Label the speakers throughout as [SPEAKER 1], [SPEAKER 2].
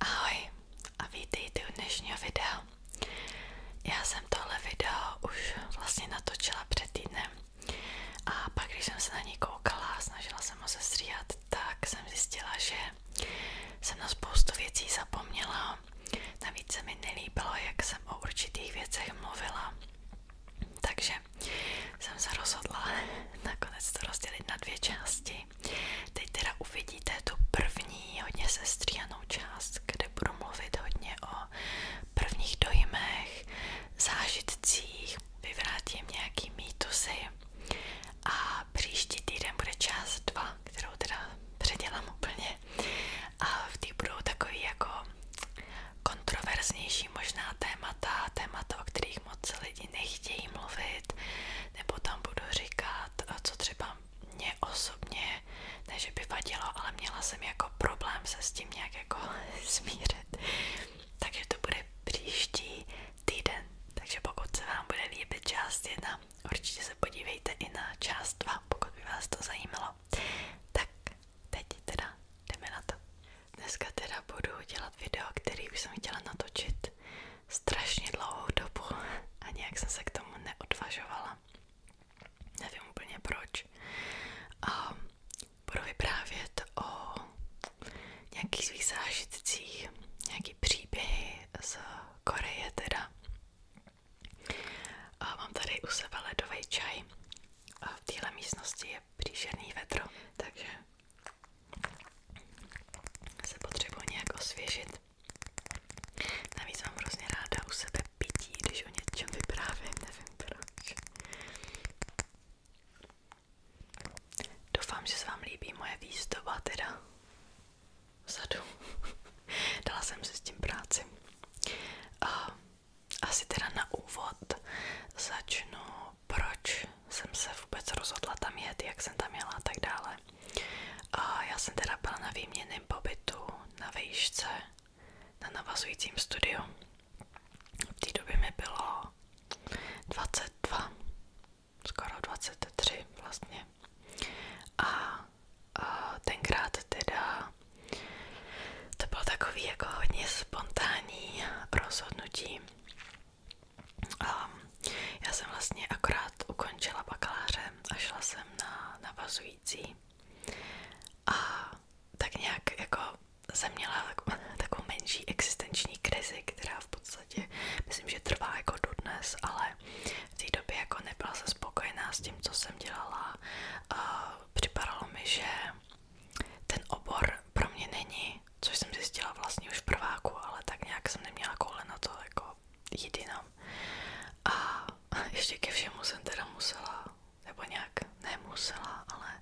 [SPEAKER 1] Ahoj a vítejte u dnešního videa. Já jsem tohle video už vlastně natočila před týdnem a pak, když jsem se na něj koukala a jsem ho sestříhat, tak jsem zjistila, že jsem na spoustu věcí zapomněla. Navíc se mi nelíbilo, jak jsem o určitých věcech mluvila. Takže jsem se rozhodla nakonec to rozdělit na dvě části hry. Teď teda uvidíte tu první hodně sestříhanou část, kde budu mluvit hodně o prvních dojmech, zážitcích, vyvrátím nějaký mýtusy a příští týden bude část 2, kterou teda předělám úplně a v té budou takový jako kontroverznější možná témata, témata, o kterých moc lidi nechtějí mluvit, nebo tam budu říkat, eh, co třeba mě osobně, ne že by vadilo, ale měla jsem jako problém se s tím nějak jako smířit. Takže to bude příští týden. Takže pokud se vám bude líbit část 1, určitě se podívejte i na část 2, pokud by vás to zajímalo. Tak teď teda jdeme na to. Dneska teda budu dělat video, který už jsem chtěla natočit strašně dlouhou dobu a nějak jsem se k tomu neodvažovala. Nevím úplně proč. A budu vyprávět o nějakých svých zážitcích, nějaký příběhy z Koreje teda. A mám tady u sebe ledový čaj a v téhle místnosti je příšerný vedro, takže se potřebuji nějak osvěžit. Navíc mám ráda u sebe pití, když o něčem nevím proč. Doufám, že se vám líbí moje výzdoba teda vzadu. Dala jsem si s tím práci. asi teda na úvod začnu, proč jsem se vůbec rozhodla tam jet, jak jsem tam jela a tak dále takhle. A já jsem teda byla na výměném pobytu na výšce, na navazujícím studiu. V té době mi bylo 22, skoro 23 vlastně. A, a tenkrát teda to bylo takový jako hodně spontánní rozhodnutí. Um, já jsem vlastně akorát ukončila bakaláře a šla jsem na navazující a tak nějak jako jsem měla tak, takovou menší existenční krizi, která v podstatě myslím, že trvá jako dodnes, ale v té době jako nebyla jsem spokojená s tím, co jsem dělala. Uh, připadalo mi, že ten obor pro mě není což jsem zjistila vlastně už v prváku, ale tak nějak jsem neměla koule na to jako jít jinam. A ještě ke všemu jsem teda musela, nebo nějak nemusela, ale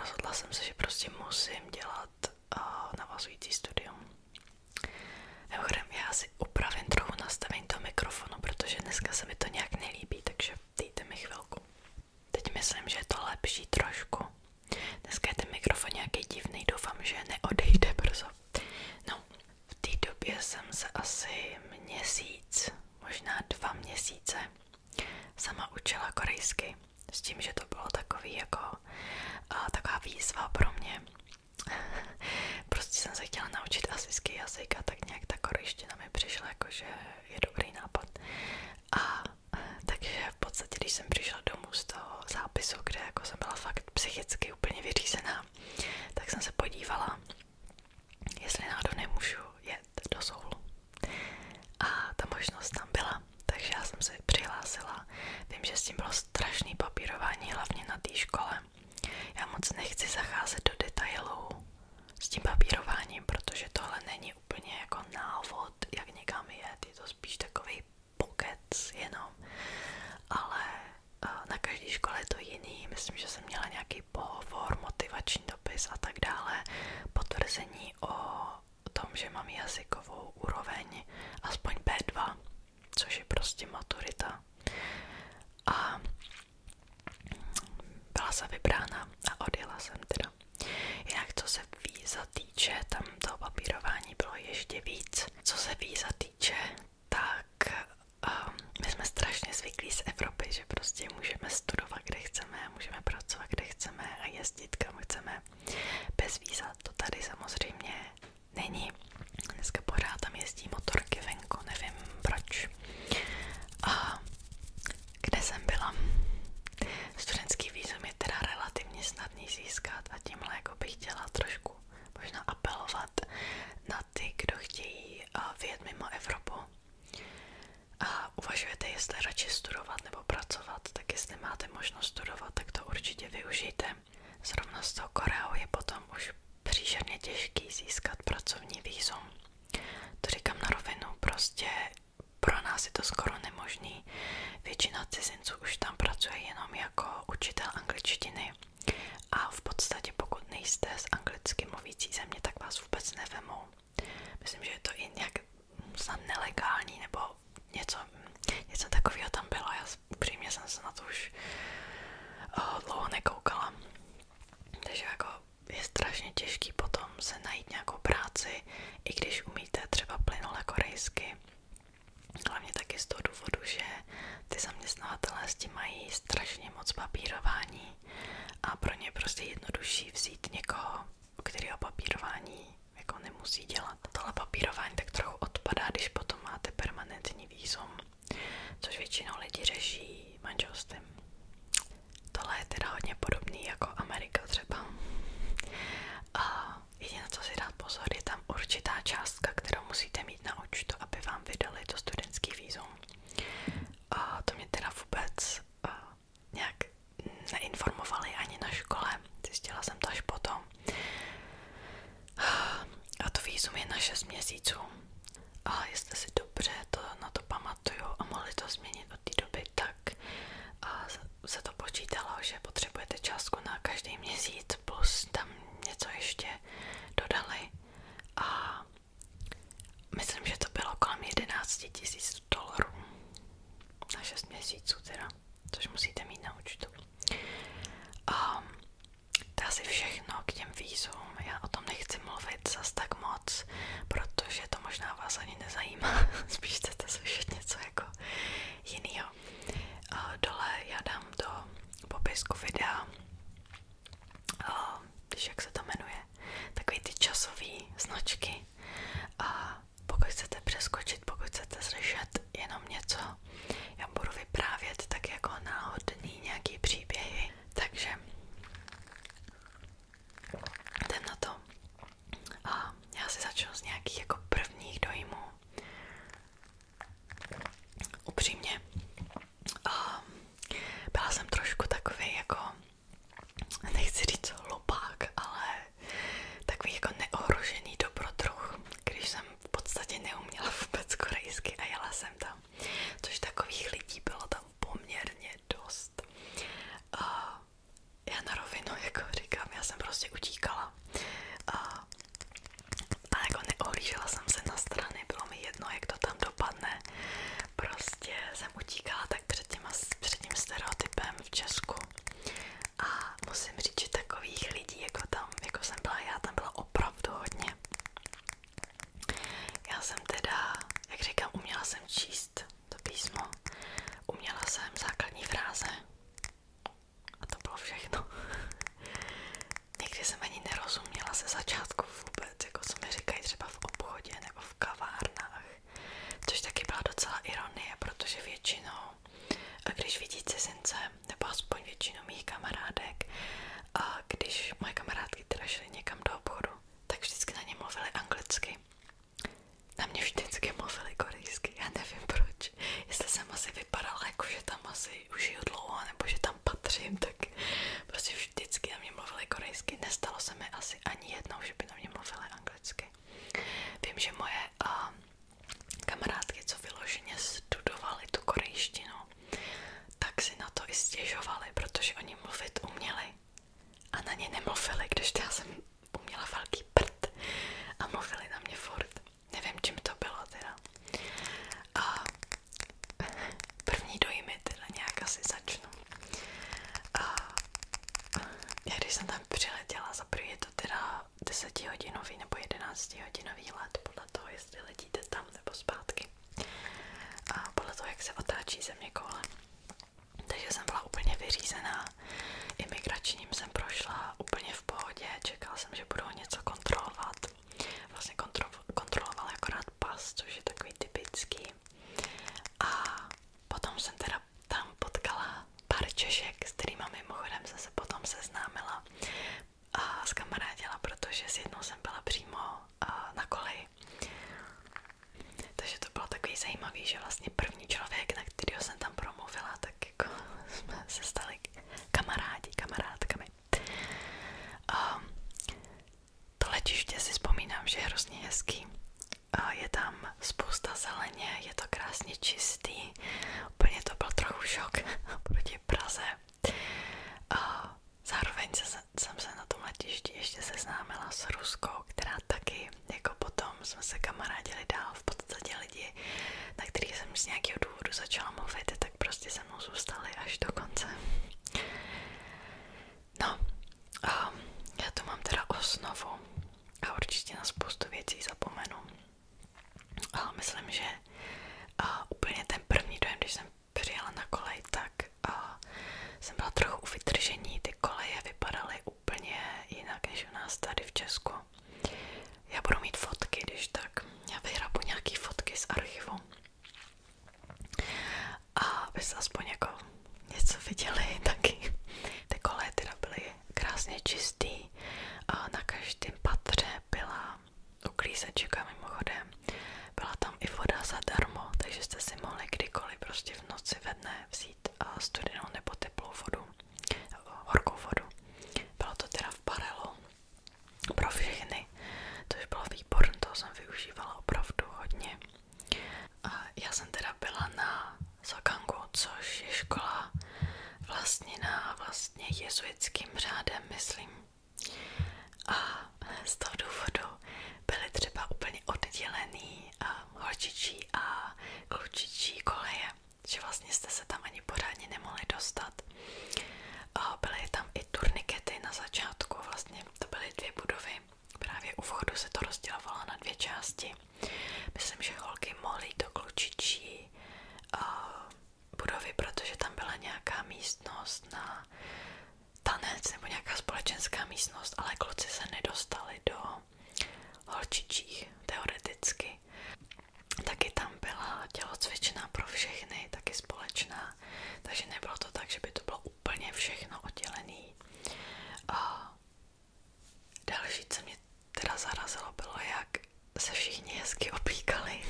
[SPEAKER 1] rozhodla jsem se, že prostě musím dělat navazující studium. Mimochodem, já si upravím trochu nastavení toho mikrofonu, protože dneska se mi to nějak nelíbí, takže dejte mi chvilku. Teď myslím, že je to lepší trošku. Dneska je ten mikrofon nějaký divný, doufám, že neodejde brzo. No, v té době jsem se asi měsíc, možná dva měsíce, sama učila korejsky. S tím, že to bylo takový jako a, taková výzva pro mě. prostě jsem se chtěla naučit asijský jazyk a tak nějak ta korejština mi přišla jako, že je dobrý nápad. A takže v podstatě, když jsem přišla domů z toho zápisu, kde jako jsem byla fakt psychicky úplně vyřízená, tak jsem se podívala, jestli náhodou nemůžu jet do soulu. A ta možnost tam byla, takže já jsem se přihlásila. Vím, že s tím bylo strašný papírování, hlavně na té škole. Já moc nechci zacházet do detailů s tím papírováním, protože tohle není úplně jako návod, jak někam jet, je to spíš takový pokec jenom, ale eh, na každé škole je to jiný, myslím, že jsem měla nějaký pohovor, motivační dopis a tak dále, potvrzení o tom, že mám jazykovou úroveň, aspoň B2, což je prostě maturita. A byla jsem vybrána a odjela jsem teda. Jinak, co se víza týče, tam to papírování bylo ještě víc. Co se víza týče, tak um, my jsme strašně zvyklí z Evropy, že prostě můžeme studovat, kde chceme, můžeme pracovat, kde chceme a jezdit, kam chceme. Bez víza to tady samozřejmě není. Dneska pořád tam jezdí motorky venku, nevím proč. A kde jsem byla? Studentský vízum je teda relativně snadný snadný získat a tímhle jako bych chtěla trošku možná apelovat na ty, kdo chtějí vyjet mimo Evropu a uvažujete, jestli radši studovat nebo pracovat, tak jestli máte možnost studovat, tak to určitě využijte. Zrovna s tou Koreou je potom už příšerně těžký získat pracovní výzum. To říkám na rovinu, prostě pro nás je to skoro nemožný. Většina cizinců už tam pracuje jenom jako učitel angličtiny a v podstatě pokud nejste z anglicky mluvící země, tak vás vůbec nevemou. Myslím, že je to i nějak snad nelegální nebo něco, něco takového tam bylo. Já upřímně jsem se na to už uh, dlouho nekoukala. Takže jako je strašně těžký potom se najít nějakou práci, i když umíte třeba plynule korejsky Hlavně taky z toho důvodu, že ty zaměstnavatelé s tím mají strašně moc papírování a pro ně prostě jednodušší vzít někoho, který o papírování jako nemusí dělat. Tohle papírování tak trochu odpadá, když potom máte permanentní výzum, což většinou lidi řeší manželstvím. Tohle je teda hodně podobný jako Amerika třeba. A jediné, co si dát pozor, je tam určitá částka, kterou musíte mít na účtu, aby vám vydali to studentský výzum. A to mě teda vůbec a, nějak neinformovali ani na škole, zjistila jsem to až potom. A to výzum je na 6 měsíců. Ale jestli si dobře to na to pamatuju a mohli to změnit od té doby, tak a, se to počítalo, že potřebujete částku na každý měsíc, plus tam něco ještě dodali a myslím, že to bylo kolem 11 tisíc dolarů na 6 měsíců teda, což musíte mít na účtu. Um, to asi všechno k těm vízům, já o tom nechci mluvit zas tak moc, protože to možná vás ani nezajímá, spíš chcete slyšet něco jako jinýho. Dole já dám do popisku videa, když jak se to jmenuje, takový ty časové značky a pokud chcete přeskočit, pokud chcete slyšet jenom něco, já budu vyprávět tak jako náhodný nějaký příběhy, takže jdem na to. A já si začnu z nějakých jako prvních dojmů. Upřímně, a byla jsem trošku takový jako, nechci říct hlupák, ale takový jako neohrožený dobrodruh, když jsem v podstatě neuměla vůbec korejsky a jela jsem tam. Což takových lidí bylo tam poměrně dost. A já na rovinu, jako říkám, já jsem prostě utíkala. A, jako neohlížela jsem se na strany, bylo mi jedno, jak to tam dopadne. Prostě jsem utíkala tak před, těma, před tím stereotypem v Česku. A musím říct, že takových lidí, jako tam, jako jsem byla já, tam byla opravdu hodně. Já jsem teda, jak říkám, uměla jsem číst číst to písmo. Uměla jsem základní fráze a to bylo všechno. Někdy jsem ani nerozuměla ze začátku vůbec, jako co mi říkají třeba v obchodě nebo v kavárnách, což taky byla docela ironie, protože většinou, a když vidí cizince, nebo aspoň většinu mých kamarádek, a když moje kamarádky teda šly někam do obchodu, tak vždycky na ně mluvili anglicky. Na mě vždycky mluvili korejsky, já nevím proč. Jestli jsem asi vypadala jako, že tam asi už je dlouho, nebo že tam patřím, tak prostě vždycky na mě mluvili korejsky. Nestalo se mi asi ani jednou, že by na mě mluvili anglicky. Vím, že moje uh, kamarádky, co vyloženě studovali tu korejštinu, tak si na to i stěžovali, protože oni mluvit uměli a na ně nemluvili, když já jsem měla velký prd a mluvili na mě furt. Nevím, čím to bylo teda. A první dojmy teda nějak asi začnu. A já když jsem tam přiletěla, za první je to teda 10 hodinový nebo 11 hodinový let, podle toho, jestli letíte tam nebo zpátky. A podle toho, jak se otáčí země koule. Takže jsem byla úplně vyřízená. Imigračním jsem prošla úplně v pohodě, čekala jsem, že budou něco kontrolovat. Vlastně kontro, kontrolovala akorát pas, což je takový typický. A potom jsem teda tam potkala pár Češek, s kterými mimochodem jsem se potom seznámila a zkamarádila, protože s jednou jsem byla přímo na koleji. Takže to bylo takový zajímavý, že vlastně první člověk, na kterého jsem tam promluvila, tak jako jsme se stali kamarádi, kamarádkami. Ehm, to letiště si vzpomínám, že je hrozně je tam spousta zeleně, je to krásně čistý. Úplně to byl trochu šok proti Praze. se, jsem se na tom letišti ještě seznámila s Ruskou, která taky jako potom jsme se kamarádili dál v podstatě lidi, na kterých jsem z nějakého důvodu začala mluvit, tak prostě se mnou zůstali až do konce. No, um, já tu mám teda osnovu a určitě na spoustu věcí zapomenu. Ale myslím, že uh, úplně ten první dojem, když jsem přijela na kolej, tak uh, jsem byla trochu u vytržení, ty koleje vypadaly úplně jinak než u nás tady v Česku. Já budu mít fotky, když tak. Já vyhrabu nějaký fotky z archivu. A byste aspoň jako něco viděli taky. Ty koleje teda byly krásně čistý. A na každém patře byla uklízečka mimochodem. Byla tam i voda zadarmo, takže jste si mohli kdykoliv prostě v noci ve dne vzít studenou nebo teplou vodu horkou vodu. Bylo to teda v barelu pro všechny, což bylo výborné, toho jsem využívala opravdu hodně. A já jsem teda byla na Sokangu, což je škola vlastněná vlastně jezuitským řádem, myslím. A z toho důvodu byly třeba úplně oddělený holčičí a klučičí koleje, že vlastně jste se tam ani pořádně nemohli dostat. Byly tam i turnikety na začátku, vlastně to byly dvě budovy. Právě u vchodu se to rozdělovalo na dvě části. Myslím, že holky mohly do klučičí budovy, protože tam byla nějaká místnost na tanec nebo nějaká společenská místnost, ale kluci se nedostali do holčičích teoreticky. Taky tam byla tělocvičná pro všechny, taky společná, takže nebylo to tak, že by to bylo úplně všechno oddělený. další, co mě teda zarazilo, bylo, jak se všichni hezky oblíkali.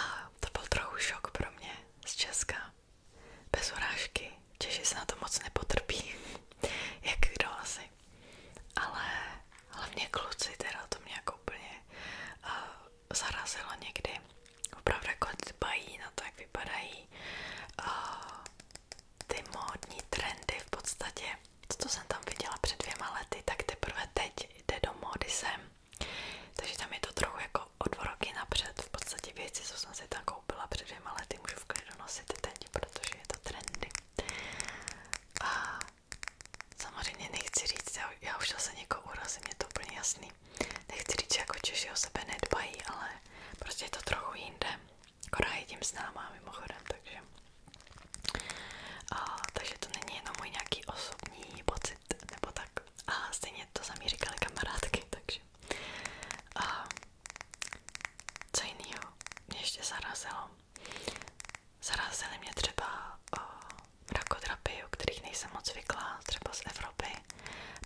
[SPEAKER 1] A to byl trochu šok pro mě z Česka. Bez urážky. Češi se na to moc nepotrpí, jak kdo asi. Ale hlavně kluci, teda to mě jako úplně uh, někdy. Opravdu jako dbají na to, jak eh, ty módní trendy v podstatě. To, jsem tam viděla před dvěma lety, tak teprve teď jde do módy sem. Takže tam je to trochu jako o dva roky napřed. V podstatě věci, co jsem si tam koupila před dvěma lety, můžu v klidu nosit teď protože je to trendy. A samozřejmě nechci říct, já, já už zase někoho urazím, je to úplně jasný. Nechci říct, že jako Češi o sebe nedbají, ale prostě je to trochu jinde. Korea je tím známá mimochodem, takže... A, takže to není jenom můj nějaký osobní pocit, nebo tak. A stejně to sami říkali kamarádky, takže... A, co jiného mě ještě zarazilo? Zarazily mě třeba o, rakodrapy, o kterých nejsem moc zvyklá, třeba z Evropy,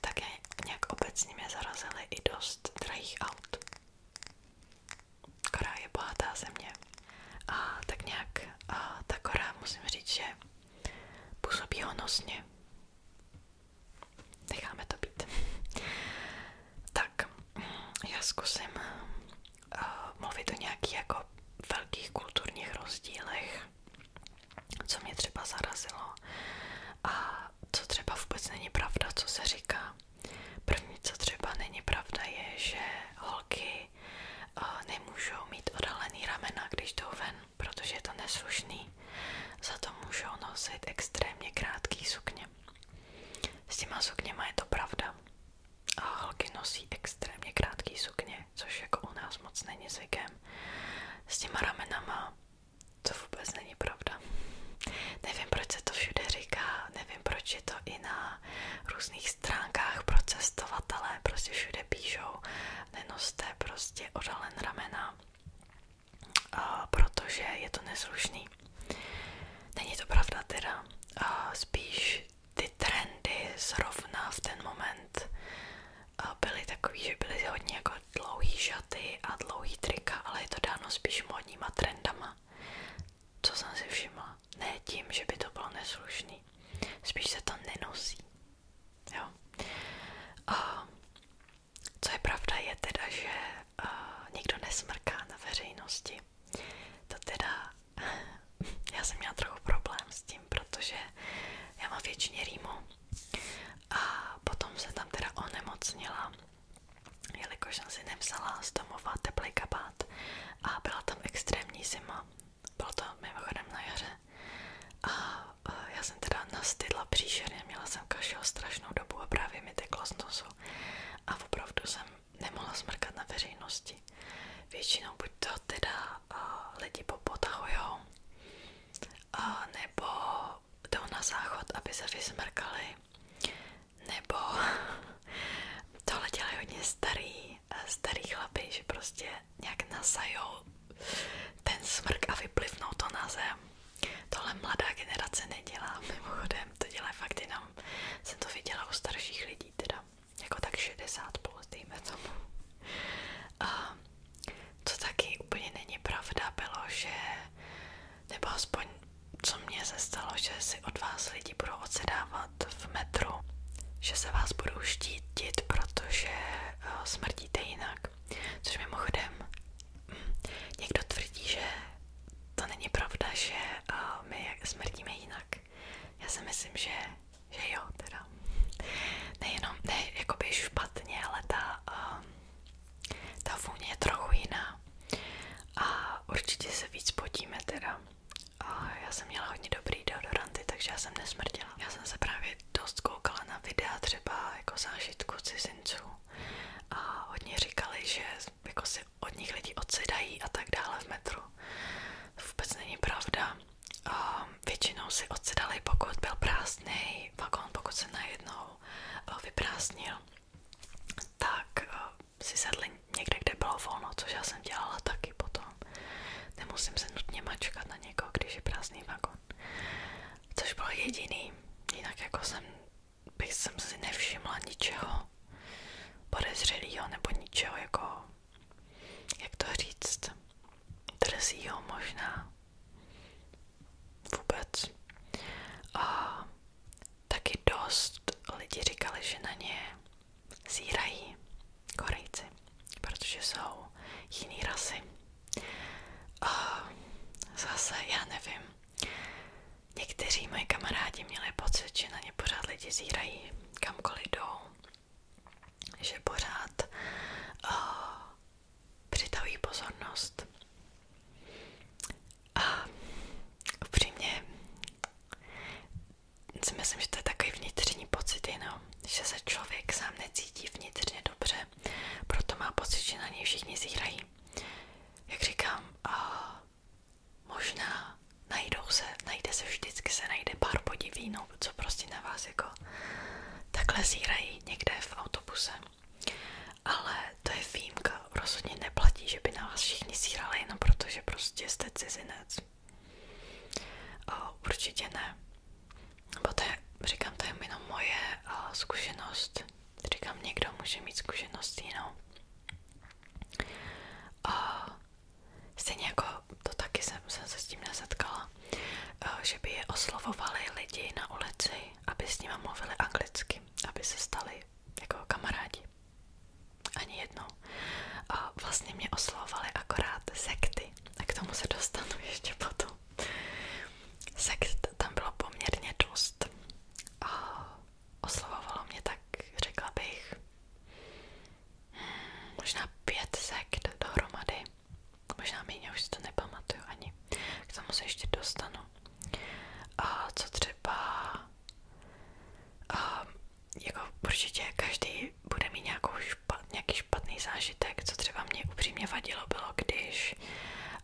[SPEAKER 1] tak je, nějak obecně mě zarazily i dost drahých aut. Korea je bohatá země. A tak nějak a ta Korea, musím říct, že působí honosně necháme to být. Tak, já zkusím eh, mluvit o nějakých jako velkých kulturních rozdílech, co mě třeba zarazilo a co třeba vůbec není pravda, co se říká. První, co třeba není pravda, je, že holky eh, nemůžou mít odhalený ramena, když jdou protože je to neslušný. Za to můžou nosit extrémně krátký sukně. S těma sukněma je to pravda. A holky nosí extrémně krátký sukně, což jako u nás moc není zvykem. S těma ramenama to vůbec není pravda. Nevím, proč se to všude říká, nevím, proč je to i na různých stránkách pro cestovatele, prostě všude píšou, nenoste prostě odhalen ramena, protože je to neslušný. Není to pravda teda, spíš ty trendy zrovna v ten moment byly takový, že byly hodně jako dlouhý šaty a dlouhý trika, ale je to dáno spíš modníma trendama, co jsem si všimla. Ne tím, že by to bylo neslušný, spíš se to nenosí. Jo. Co je pravda je teda, že uh, nikdo nesmrká na veřejnosti. To teda, já jsem měla trochu problém s tím, protože já mám většině rýmu a potom jsem tam teda onemocnila, jelikož jsem si nevzala z domova teplý kabát a byla tam extrémní zima. Bylo to mimochodem na jaře a eh, já jsem teda nastydla příšerně, měla jsem kašel strašnou dobu a právě mi teklo z nosu a opravdu jsem nemohla smrkat na veřejnosti. Většinou buď to teda a, lidi popotahujou, a, nebo jdou na záchod, aby se vysmrkali, nebo tohle dělají hodně starý, starý chlapy, že prostě nějak nasajou ten smrk a vyplivnou to na zem. Tohle mladá generace nedělá, mimochodem, to dělá fakt jenom, jsem to viděla u starších lidí, teda jako tak 60 plus, dejme tomu. co taky úplně není pravda že, nebo aspoň co mně se že si od vás lidi budou odsedávat v metru, že se vás budou štítit, protože eh, smrdíte jinak. Což mimochodem, mm, někdo tvrdí, že to není pravda, že eh, my smrdíme jinak. Já si myslím, že, že jo, teda. Nejenom, ne jakoby špatně, ale ta, eh, ta vůně je trochu jiná. A určitě se víc podíme teda. já jsem měla hodně dobrý deodoranty, takže já jsem nesmrdila. Já jsem se právě dost koukala na videa třeba jako zážitku cizinců a hodně říkali, že jako si od nich lidi odsedají a tak dále v metru. Vůbec není pravda. A většinou si odsedali, pokud byl prázdný vagón, pokud se najednou eh, vyprázdnil, tak eh, si sedli někde, kde bylo volno, což já jsem dělala taky potom. Nemusím se nutně mačkat na někoho, když je prázdný vagón což bylo jediný, jinak jako jsem, bych jsem si nevšimla ničeho podezřelého nebo ničeho jako, jak to říct, drzího možná, vůbec. A taky dost lidi říkali, že na ně zírají Korejci, protože jsou jiný rasy. Zase, já nevím. Někteří moji kamarádi měli pocit, že na ně pořád lidi zírají, kamkoliv jdou. Že pořád uh, A upřímně si myslím, že to je takový vnitřní pocit že se člověk sám necítí vnitřně dobře, proto má pocit, že na něj všichni zírají. Jak říkám, a možná najdou se, najde se vždycky, se najde pár podivínů, co prostě na vás jako takhle zírají někde v autobuse. Ale to je výjimka, rozhodně neplatí, že by na vás všichni zírali jenom proto, že prostě jste cizinec. O, určitě ne. Nebo to je, říkám, to je jenom moje o, zkušenost Říkám, někdo může mít zkušenost jinou. A jako to taky jsem, se s tím nesetkala, eh, že by je oslovovali lidi na ulici, aby s nimi mluvili anglicky, aby se stali jako kamarádi. Ani jednou. vlastně mě oslovovali akorát sekty. A k tomu se dostanu ještě potom. Sex tam bylo poměrně dost. A oslovovalo mě tak, řekla bych, možná pět sekt dohromady. Možná méně, už si to nepamatuju ani. K tomu se ještě dostanu. A co třeba... A jako určitě každý bude mít nějakou špat, nějaký špatný zážitek, co třeba mě upřímně vadilo bylo, když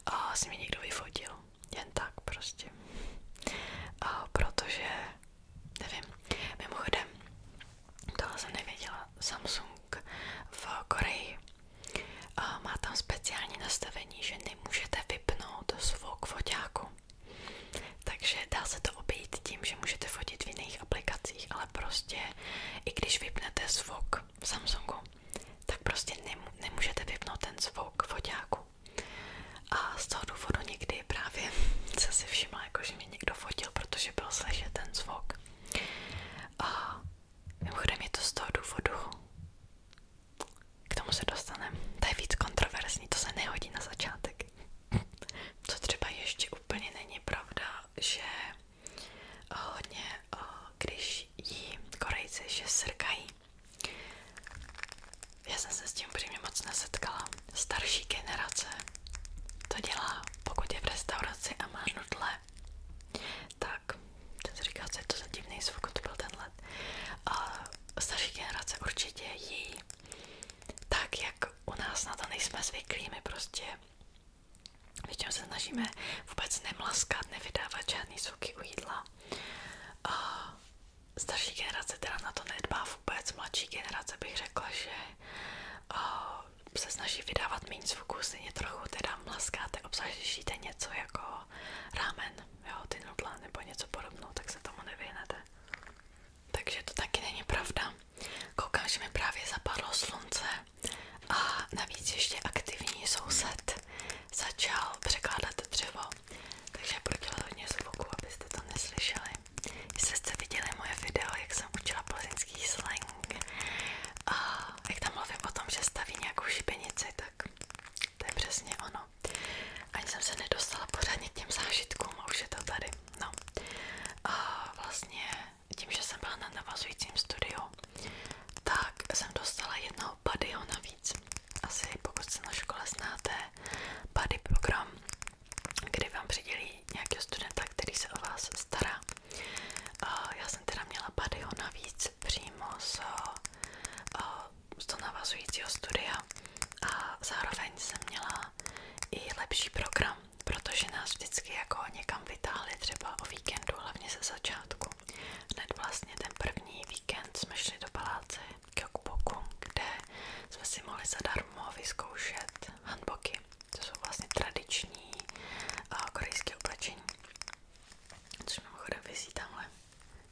[SPEAKER 1] a si mě někdo vyfotil. Jen tak prostě. protože, nevím, mimochodem, tohle jsem nevěděla, Samsung v Koreji má tam speciální nastavení, že nemůžete vypnout zvuk foťáku. Takže dá se to obejít tím, že můžete fotit v jiných aplikacích, ale prostě i když vypnete zvuk v Samsungu, tak prostě nemůžete vypnout ten zvuk foťáku. A z toho někdy právě se si všimla, jako mě někdo fotil, protože byl slyšet ten zvuk. A mimochodem je to z toho k tomu se dostaneme. To je víc kontroverzní, to se nehodí na začátek. Co třeba ještě úplně není pravda, že hodně, když jí Korejci, že srkají. Já jsem se s tím upřímně moc nesetkala. Starší generace to dělá, pokud je v restauraci a má nudle. Tak, jsem si říkala, co je to za divný zvuk, to byl tenhle. A starší generace určitě jí tak, jak u nás na to nejsme zvyklí, my prostě Většinou se snažíme vůbec nemlaskat, nevydávat žádný zvuky u jídla. Uh, starší generace teda na to nedbá vůbec, mladší generace bych řekla, že uh, se snaží vydávat méně zvuků, stejně trochu teda mlaskáte, obsažíte něco jako rámen, jo, ty nudla nebo něco podobného, tak se tomu nevyhnete. Takže to taky není pravda. Koukám, že mi právě zapadlo slunce a navíc ještě aktivní soused začal překládat dřevo, takže prodělal hodně zvuku, abyste to neslyšeli. Jestli jste viděli moje video, jak jsem učila plzeňský slang a jak tam mluvím o tom, že staví nějakou šipenici, tak to přesně ono. Ani jsem se nedostala pořádně k těm zážitkům to tady. No. vlastně tím, že jsem byla na navazujícím studiu, tak jsem dostala jednoho padyho navíc. Asi pokud se na škole znáte pady program, kdy vám přidělí nějakého studenta, který se o vás stará. Já jsem teda měla padyho navíc přímo z, eh, z toho navazujícího studia a zároveň jsem měla i lepší program, protože nás vždycky jako někam vytáhli třeba o víkendu, hlavně ze začátku. Hned vlastně ten první víkend jsme šli do paláce Kyokuboku, kde jsme si mohli zadarmo vyzkoušet hanboky. To jsou vlastně tradiční uh, korejské oblečení. Což mimochodem vysí tamhle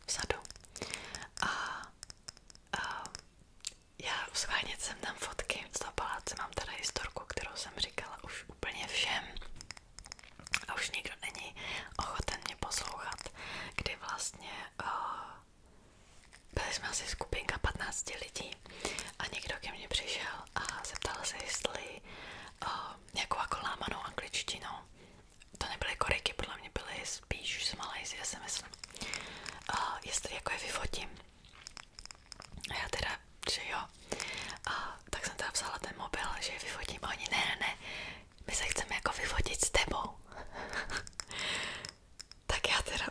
[SPEAKER 1] vzadu. A, a já schválně jsem tam fotky z toho paláce, mám tady historku, kterou jsem říkala už úplně všem a už nikdo není ochoten mě poslouchat, kdy vlastně eh, byli jsme asi skupinka 15 lidí a někdo ke mně přišel a zeptal se, jestli uh, eh, nějakou jako lámanou to nebyly koriky, podle mě byly spíš z Malajzie, si myslím, eh, jestli jako je vyfotím. já teda že jo. A tak jsem teda vzala ten mobil, že je vyfotím oni, ne, ne, ne, my se chceme jako vyfotit s tebou. tak já teda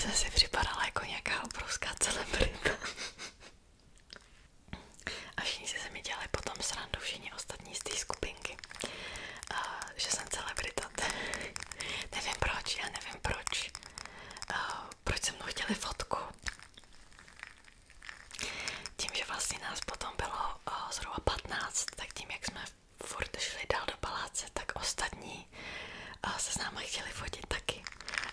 [SPEAKER 1] jsem si připadala jako nějaká obrovská celebrita. a všichni se mi dělali potom srandu, všichni ostatní z té skupinky. A, že jsem celebrita. nevím proč, já nevím proč. A, proč se mnou chtěli fotku. Tím, že vlastně nás potom bylo uh, zhruba 15, tak tím, jak jsme furt šli dál do paláce, tak ostatní uh, se s námi chtěli fotit taky.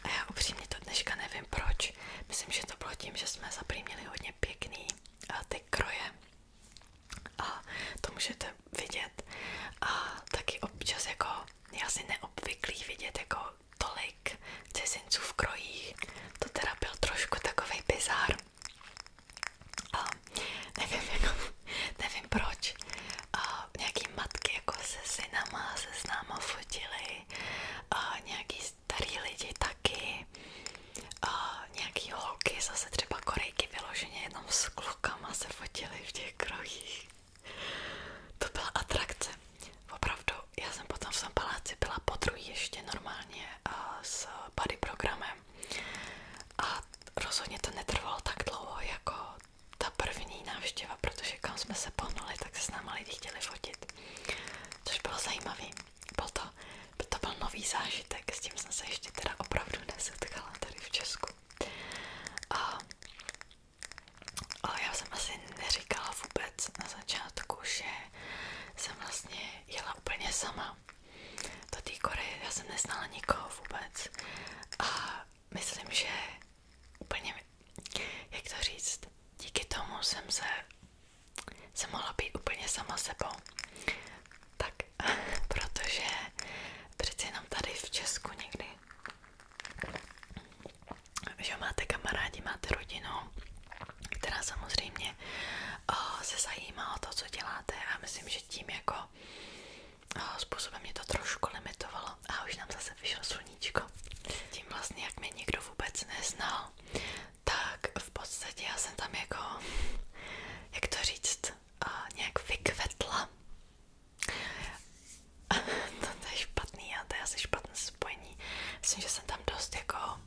[SPEAKER 1] A já upřímně to dneška nevím proč. Myslím, že to bylo tím, že jsme zapřímili hodně pěkný uh, ty kroje. A to můžete vidět. A taky občas jako je si neobvyklý vidět jako tolik cizinců v krojích. To teda trošku takový bizár. Jako, nevím, proč. A nějaký matky jako se synama, se známa fotily. A nějaký starý taky. nějaký holky, zase třeba korejky vyloženě jenom s klukama se fotily v těch krojích. To byla atrakce. Opravdu, já jsem potom v tom paláci byla podruhé ještě normálně a s body programem a rozhodně to netrvalo tak dlouho jako ta první návštěva, protože kam jsme se pohnuli, tak se s náma lidi chtěli fotit. Což bylo zajímavé. Byl to, to byl nový zážitek, s tím jsem se ještě teda opravdu nesetkala tady v Česku. A ale já jsem asi neříkala vůbec na začátku, že jsem vlastně jela úplně sama do té Koreje. Já jsem neznala nikoho vůbec. A myslím, že úplně, jak to říct, díky tomu jsem se jsem mohla být úplně sama sebou. Tak, protože přeci jenom tady v Česku někdy že máte kamarádi, máte rodinu, která samozřejmě o, eh, se zajímá o to, co děláte a myslím, že tím jako o, eh, způsobem mě to trošku limitovalo a už nám zase vyšlo sluníčko. Tím vlastně, jak mě nikdo vůbec neznal, tak v podstatě já jsem tam jako, jak to říct, o, eh, nějak vykvetla. to je špatný a to je asi špatné spojení. Myslím, že jsem tam dost jako eh,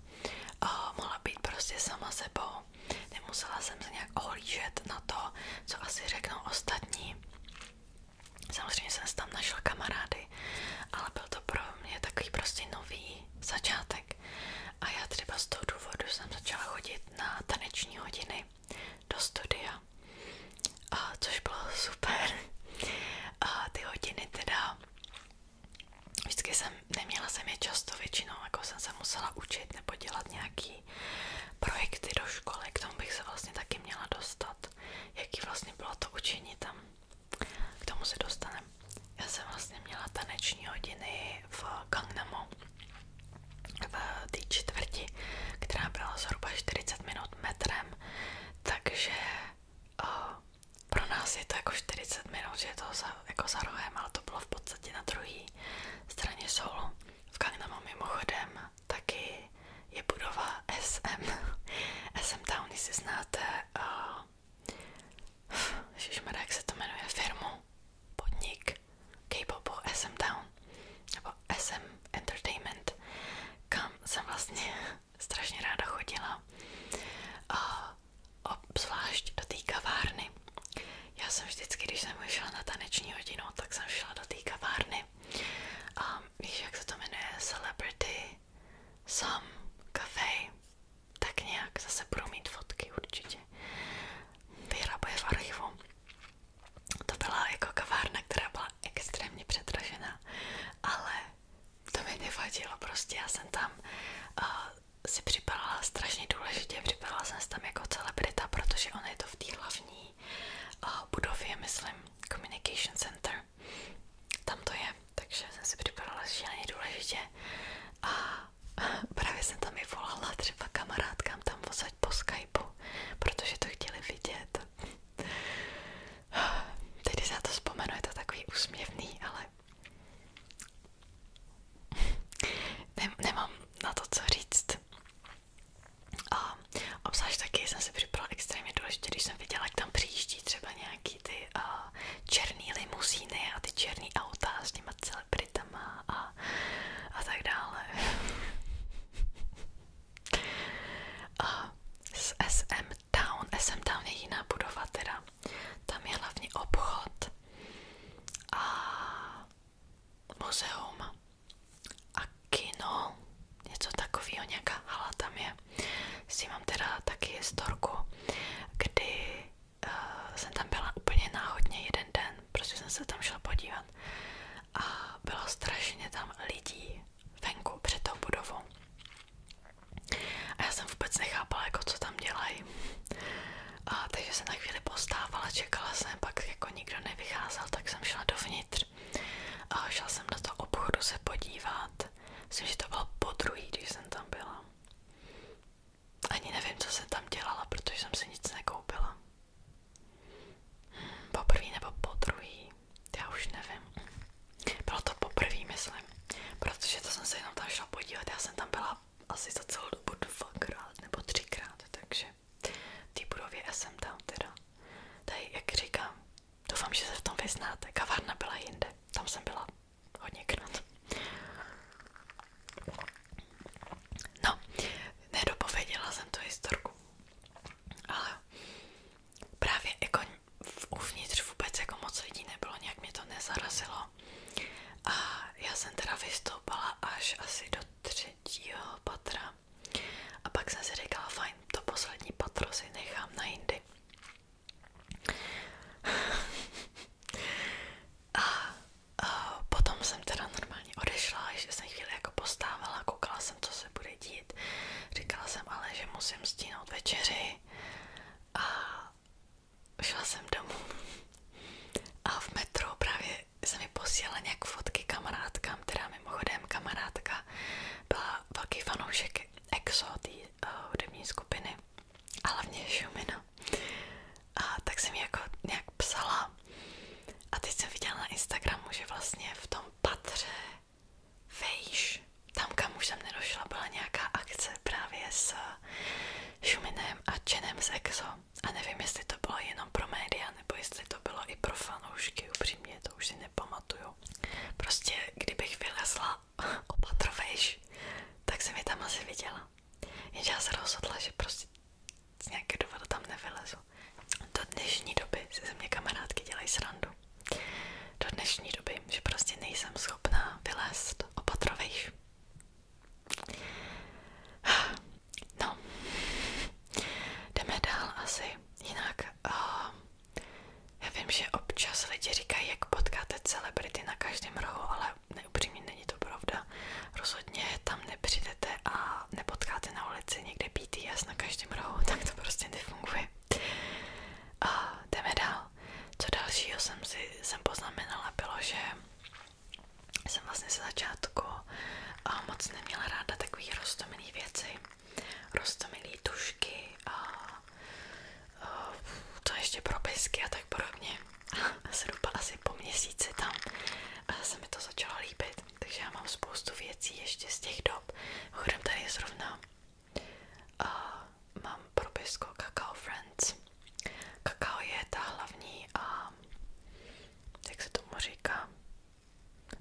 [SPEAKER 1] mohla být prostě sama sebou. Nemusela jsem se nějak ohlížet na to, co asi řeknou ostatní. Samozřejmě jsem tam našla kamarády, ale byl to pro mě takový prostě nový začátek. A já třeba z toho důvodu jsem začala chodit na taneční hodiny do studia a což bylo super. A ty hodiny teda, vždycky jsem, neměla jsem je často většinou, jako jsem se musela učit nebo dělat nějaký projekty do školy, k tomu bych se vlastně taky měla dostat, jaký vlastně bylo to učení tam, k tomu se dostaneme. Já jsem vlastně měla taneční hodiny v Gangnamu, v té čtvrti, která byla zhruba 40 minut metrem takže uh, pro nás je to jako 40 minut, že je to za, jako za rohem, ale to bylo v podstatě na druhé straně soulu. V Kangnamu mimochodem taky je budova SM. SM Town, jestli znáte, uh, ježišmarja, jak se to jmenuje, firmu, podnik K-popu SM Town, nebo SM Entertainment, kam jsem vlastně strašně ráda chodila, obzvlášť do té kavárny. Já jsem vždycky, když jsem šla na taneční hodinu, tak jsem šla do té kavárny. A víš, jak se to jmenuje? Celebrity Sam Cafe. Tak nějak zase budu mít fotky určitě. Vyhrabuje v archivu. To byla jako kavárna, která byla byla extrémně přetražená, ale to mi nevadilo, prostě já jsem tam uh, si připadala strašně důležitě, připadala jsem se tam jako celebrita, protože ona je to v té hlavní uh, budově, myslím, Communication Center, tam to je, takže jsem si připadala šíleně důležitě a právě jsem tam i volala třeba kamarádkám tam vozať po Skypeu, protože to chtěli vidět Teď, když se na to vzpomenu, je to takový úsměvný, ale Nem, nemám na to, co říct. A obzvlášť taky jsem si připravila extrémně důležitě, když jsem viděla, jak tam přijíždí třeba nějaký ty a, černý limuzíny a ty černý auta s těma celebritama a, a tak dále. A z SM Town, SM Town je jiná budova teda, tam je hlavně obchod a muzeum a kino, něco takového, nějaká hala tam je. S tím mám teda taky historku, kdy uh, jsem tam byla úplně náhodně jeden den, prostě jsem se tam šla podívat a bylo strašně tam lidí venku před tou budovou. A já jsem vůbec nechápala, jako co tam dělají. A, takže jsem na chvíli postávala, čekala jsem, pak jako nikdo nevycházel, tak jsem šla dovnitř. A šla jsem do toho obchodu se podívat. Myslím, že to bylo po druhý, když jsem tam byla. Ani nevím, co jsem tam dělala, protože jsem si nic nekoupila. Poprvý nebo podruhý, já už nevím. Bylo to poprvý, myslím, protože to jsem se jenom tam šla podívat, já jsem tam byla asi za celou dobu dvakrát nebo třikrát, takže v té budově já jsem tam teda. Tady, jak říkám, doufám, že se v tom vyznáte, kavárna byla jinde, tam jsem byla hodněkrát. No, nedopověděla jsem tu historku, ale právě jako uvnitř vůbec jako moc lidí nebylo, nějak mě to nezarazilo. A já jsem teda vystoupala až asi do třetího patra. A pak jsem si říkala, fajn, to poslední patro si nechám na jindy. a, potom jsem teda normálně odešla, ještě jsem jako postávala, koukala jsem, co se bude dít. Říkala jsem ale, že musím stínout večeři a šla jsem domů. A v metru právě se mi posílala nějak fotky kamarádkám, která mimochodem kamarádka byla velký fanoušek EXO, té eh, hudební skupiny a hlavně Šumina. A tak jsem jako nějak psala a teď jsem viděla na Instagramu, že vlastně v tom patře vejš. Tam, kam už jsem nedošla, byla nějaká akce právě s Šuminem a Čenem z Exo. A nevím, jestli to bylo jenom pro média, nebo jestli to bylo i pro fanoušky, upřímně to už si nepamatuju. Prostě, kdybych vylezla opatrovejš, tak se mi tam asi viděla. Jenže já se rozhodla, že prostě z nějakého důvodu tam nevylezu. Do dnešní doby se ze mě kamarádky dělají srandu. Do dnešní doby, že prostě nejsem schopná vylézt opatrovejš. No, jdeme dál asi. Jinak, já vím, že občas lidi říkají, jak potkáte celebrity na každém rohu, ale neupřímně není to pravda. Rozhodně tam nepřijdete a nepotkáte na ulici někde BTS na každém rohu, tak to prostě nefunguje. A jdeme dál. Co dalšího jsem si jsem poznamenala, bylo, že jsem vlastně ze začátku a moc neměla ráda takový roztomilý věci, roztomilý tušky a, a to ještě propisky a tak podobně. A zhruba asi po měsíci tam a se mi to začalo líbit. Takže mám spoustu věcí ještě z těch dob. Chodem zrovna mám propisko Kakao Friends. Kakao je ta hlavní a jak se tomu říká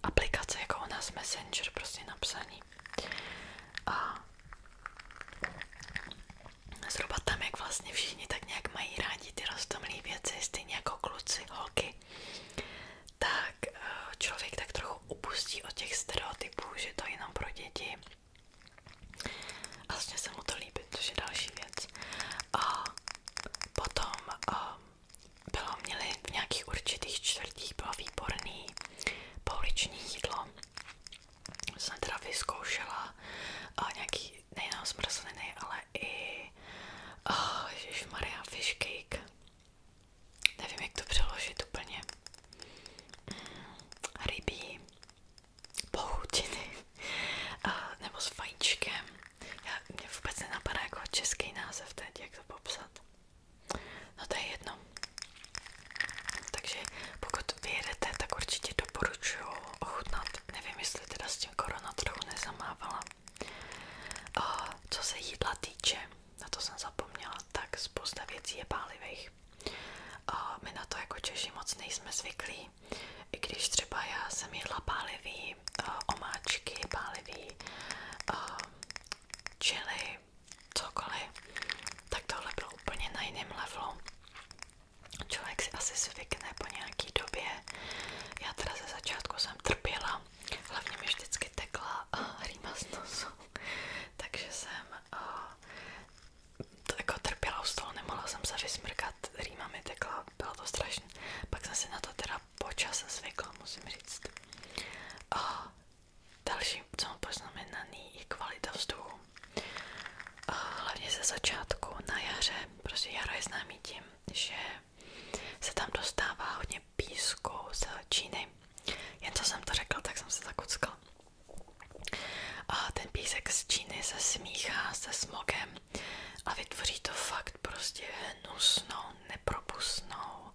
[SPEAKER 1] aplikace jako u Messenger prostě napsaný. A zhruba tam, jak vlastně všichni tak nějak mají rádi ty rostomilé věci, stejně jako kluci, holky, tak eh, člověk tak trochu upustí od těch stereotypů, že to je jenom pro děti. A vlastně se mu to líbí, což je další věc. A potom a eh, bylo, měli v nějakých určitých čtvrtích bylo výborný pouliční jídlo. Jsem teda vyzkoušela a eh, nějaký nejenom zmrzliny, ale i oh, Maria fish cake nevím, jak to přeložit úplně, mm, rybí pochutiny eh, nebo s Já, mě vůbec nenapadá jako český název teď, jak to popsat. No to jedno. Takže pokud vyjedete, tak určitě doporučuji ochutnat. Nevím, jestli teda s tím korona trochu nezamávala. Uh, co se jídla týče, na to jsem zapomněla, tak spousta věcí je pálivých. Uh, my na to jako Češi moc nejsme zvyklí, i když třeba já jsem jedla pálivý uh, omáčky, pálivý uh, čili, cokoliv, tak tohle bylo úplně na jiném levelu. Člověk si asi zvykne po nějaký době. Já teda ze začátku jsem trpěla Hlavně mi vždycky tekla uh, rýma takže jsem eh, to jako trpěla z toho, nemohla jsem se vysmrkat, rýma mi tekla, bylo to strašné. Pak jsem to teda počas zvykla, musím říct. Eh, další, co mám poznamenaný, je kvalita vzduchu. hlavně ze začátku, na jaře, prostě jaro je známý tím, že se tam dostává hodně písku z Číny. Jen co jsem to řekla, tak jsem se zakuckal. ten písek z Číny se smíchá se smogem a vytvoří to fakt prostě hnusnou, nepropustnou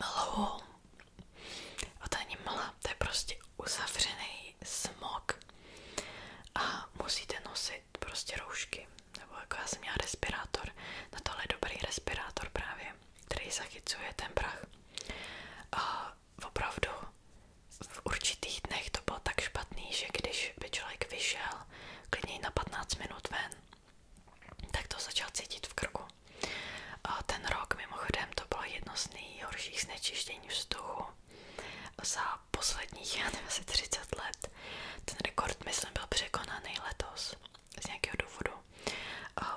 [SPEAKER 1] mlhu. A to není je prostě uzavřený smog. A musíte nosit ty prostě roušky, nebo jako já jsem měla respirátor, na tohle je dobrý respirátor právě, který zachycuje ten prach. A opravdu v určitých dnech to bylo tak špatný, že když by člověk vyšel klidně na 15 minut ven, tak to začal cítit v krku. A ten rok mimochodem to bylo jedno z nejhorších znečištění vzduchu za posledních, já nevím, asi 30 let. Ten rekord, myslím, byl překonaný letos z nějakého důvodu.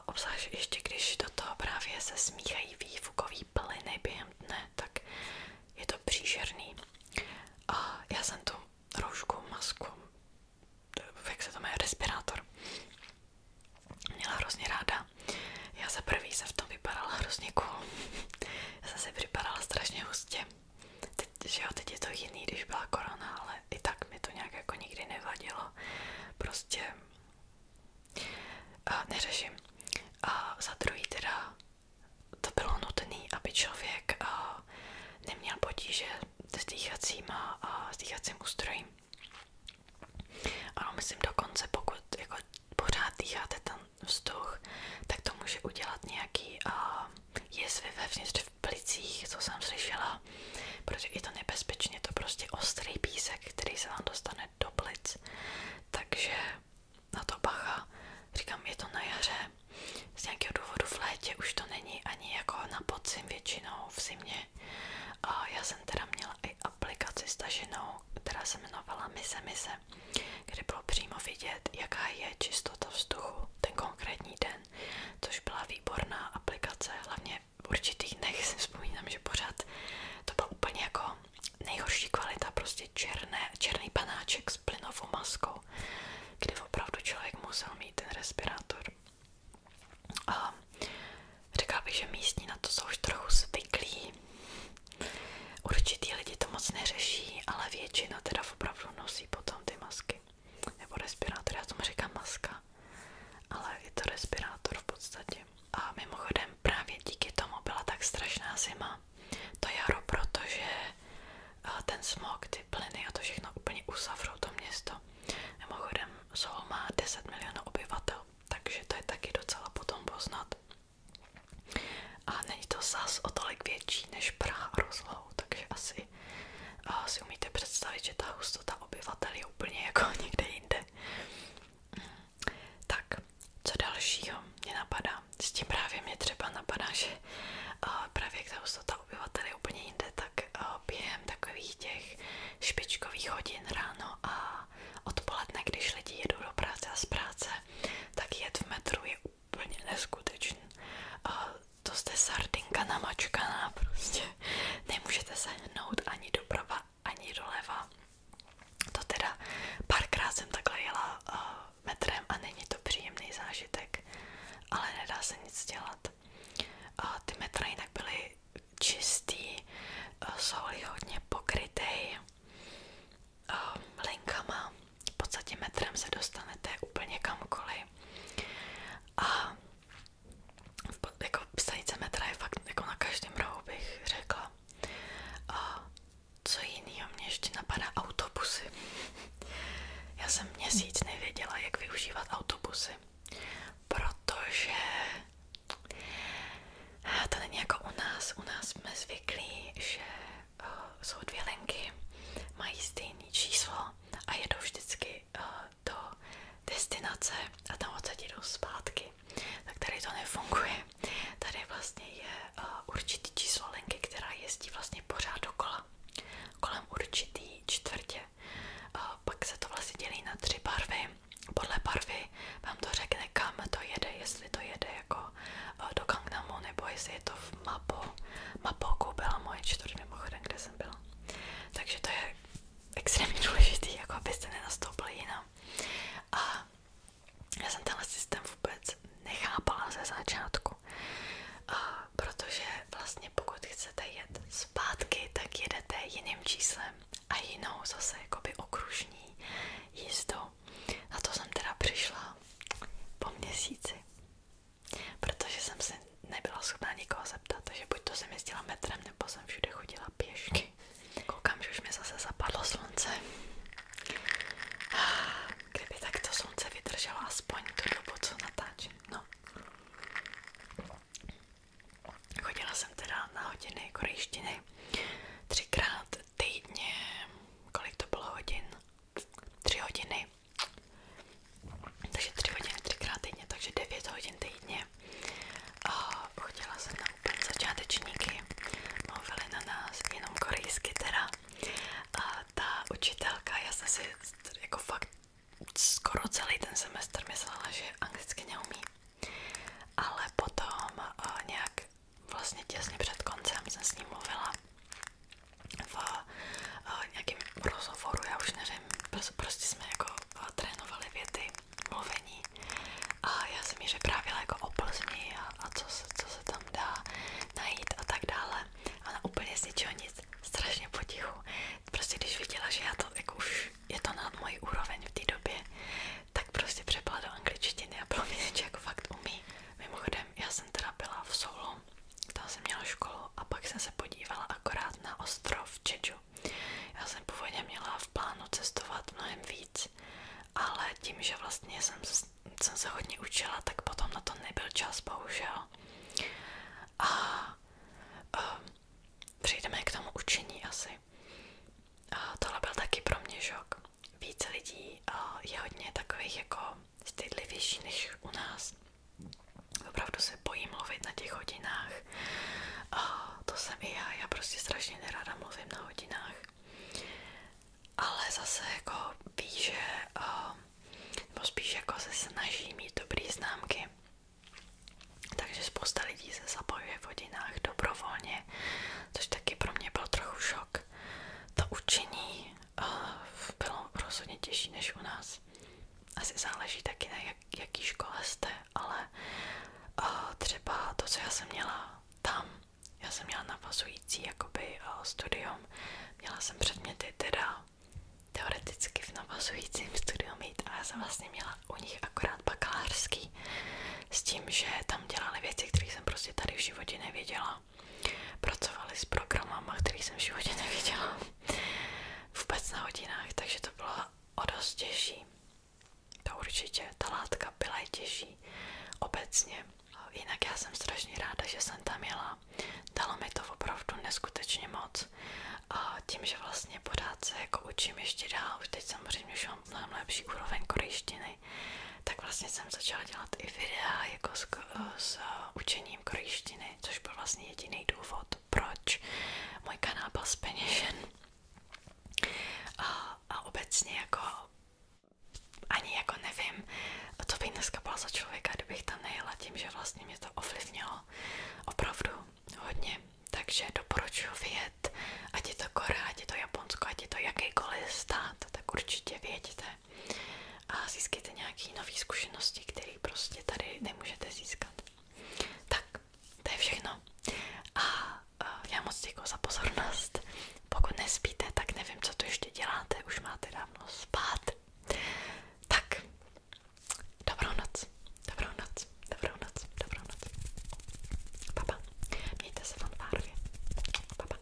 [SPEAKER 1] Obzvlášť ještě když do toho právě se smíchají výfukový plyny tak je to příšerný. A já jsem tu roušku, masku, jak se to jmenuje, respirátor, měla hrozně ráda. Já za prvý jsem v tom vypadala hrozně Já jsem si strašně hustě. Teď, že jo, teď je to jiný, když byla korona, ale i tak mi to nějak jako nikdy nevadilo. Prostě a eh, neřeším. A za druhý teda to bylo nutné, aby člověk a, eh, neměl potíže s dýchacíma a s dýchacím ústrojím. Ano, myslím dokonce, pokud jako pořád dýcháte ten vzduch, tak to může udělat nějaký a, eh, jizvy vevnitř v plicích, co jsem slyšela, protože je to nebezpečně, je to prostě ostrý písek, který se vám dostane do plic, takže na to bacha, říkám, je to na jaře, z nějakého důvodu v létě už to není ani jako na podzim většinou v zimě. A já jsem teda měla i aplikaci staženou, která se jmenovala Mise Mise, kde bylo přímo vidět, jaká je čistota vzduchu ten konkrétní den den, což byla výborná aplikace, hlavně v určitých dnech si vzpomínám, že pořád to byl úplně jako nejhorší kvalita, prostě černé, černý panáček s plynovou maskou, kdy opravdu člověk musel mít ten respirátor. A řekla bych, že místní na to jsou už trochu zvyklí. Určitý lidi to moc neřeší, ale většina teda opravdu nosí potom ty masky nebo respirátor, já tomu říkám maska, ale je to respirátor v podstatě. A mimochodem právě díky tomu byla tak strašná zima, to jaro, protože eh, ten smog, ty plyny a to všechno úplně usavřou to město. Mimochodem Sol má 10 milionů obyvatel, takže to je taky docela potom poznat. A není to zas o tolik větší než Praha rozlohou, takže asi si umíte představit, že ta hustota obyvatel je úplně jako někde jinde. Tak, co dalšího mě napadá? S tím právě mě třeba napadá, že právě jak ta hustota obyvatel je úplně jinde, tak uh, během takových těch špičkových hodin ráno a odpoledne, když lidi jedou do práce a z práce, tak jet v metru je úplně úplně neskutečný. A to jste sardinka namačkaná prostě. Nemůžete se hnout ani doprava, ani doleva. To teda párkrát jsem takhle jela uh, metrem a není to příjemný zážitek, ale nedá se nic dělat. Uh, ty metra jinak byly čistý, uh, eh, jsou hodně pokrytý uh, eh, linkama, v podstatě metrem se dostanete úplně kamkoliv a jako stanice metra je fakt jako na každém rohu bych řekla a co jiného mě ještě napadá autobusy já jsem měsíc nevěděla jak využívat autobusy protože to není jako u nás u nás jsme zvyklí, že uh, dvě linky, mají stejné číslo a jedou vždycky eh, do destinace a tam odsaď jdou zpátky. Tak tady to nefunguje. Tady vlastně je eh, určitý číslo linky, která jezdí vlastně pořád dokola, kolem určitý čtvrtě. pak se to vlastně dělí na tři barvy. Podle barvy vám to řekne, kam to jede, jestli to jede jako do Gangnamu, nebo jestli je to v v Mapo. Mapo byla moje čtvrť mimochodem, kde jsem byla. Takže to je extrémně důležitý, jako abyste nenastoupili jinam. A já jsem tenhle systém vůbec nechápala ze začátku. A protože vlastně pokud chcete jet zpátky, tak jedete jiným číslem a jinou zase jakoby okružní jízdou. Na to jsem teda přišla po měsíci protože jsem se nebyla schopná nikoho zeptat, takže buď to jsem jezdila metrem, nebo jsem všude chodila pěšky. Koukám, že už mi zase zapadlo slunce. Kdyby tak to slunce vydrželo aspoň tu dobu, co natáčím, no. Chodila jsem teda na hodiny korejštiny třikrát týdně, kolik to bylo hodin? Tři hodiny takže 3 hodiny, 3 týdně, takže 9 hodin týdně. Uh, chodila jsem na úplně začátečníky, na nás jenom korejsky teda. ta učitelka, já jsem si jako skoro celý ten semestr myslela, že anglicky neumí. Ale potom eh, nějak vlastně těsně před koncem jsem s ní mluvila v uh, eh, nějakém já už nevím, prostě jsme jako eh, trénovali věty, mluvení a já jsem ji jako o a, co, se, tam dá najít a tak dále. A ona úplně nic, strašně potichu. Prostě když viděla, že já to jako je to nad mojí úroveň v té době, tak prostě přepla do angličtiny a bylo jako fakt umí. Mimochodem, já jsem teda byla v Soulu no, toho jsem měla školu a pak jsem se podívala akorát na ostrov Čeču. Já jsem původně měla v plánu cestovat mnohem víc, ale tím, že vlastně jsem, jsem se hodně učila, tak potom na to nebyl čas, bohužel. A, a ehm, přejdeme k tomu učení asi. A tohle byl taky pro mě šok. Víc lidí a je hodně takových jako stydlivější než u nás. Opravdu se bojím mluvit na těch hodinách. A to jsem i já, já prostě strašně nerada mluvím na hodinách. Ale zase jako ví, že, a, nebo spíš jako se snaží mít dobré známky. Takže spousta lidí se zapojuje v hodinách dobrovolně, což taky pro mě byl trochu šok. To učení bylo rozhodně těžší než u nás. Asi záleží taky na jak, jaký škole jste, ale třeba to, co já jsem měla tam, já jsem měla navazující jakoby studium, měla jsem předměty teda teoreticky v navazujícím studiu mít, ale já jsem vlastně měla u nich akorát bakalářský s tím, že tam dělali věci, které jsem prostě tady v životě nevěděla a pracovali s programama, který jsem v životě neviděla vůbec na hodinách, takže to bylo o dost těžší. To určitě, ta látka byla i těžší obecně. Jinak já jsem strašně ráda, že jsem tam jela. Dalo mi to opravdu neskutečně moc. A tím, že vlastně pořád se jako učím ještě dál, už teď samozřejmě už mám mnohem lepší úroveň korejštiny, tak vlastně jsem začala dělat i videa jako z s eh, učením korejštiny, což byl vlastně jediný důvod, proč můj kanál byl zpeněžen. A, a obecně jako ani jako nevím, co bych dneska byla za člověka, kdybych tam nejela tím, že vlastně mě to ovlivnilo opravdu hodně. Takže doporučuji vyjet, ať je to Korea, ať je to Japonsko, ať je to jakýkoliv stát, tak určitě věděte a získáte nějaké nové zkušenosti, které prostě tady nemůžete získat. Tak, to je všechno. A, a já moc děkuji za pozornost. Pokud nespíte, tak nevím, co tu ještě děláte, už máte dávno spát. Tak, dobrou noc, dobrou noc, dobrou noc, dobrou noc. Papa, mějte se fanfárově. Papa.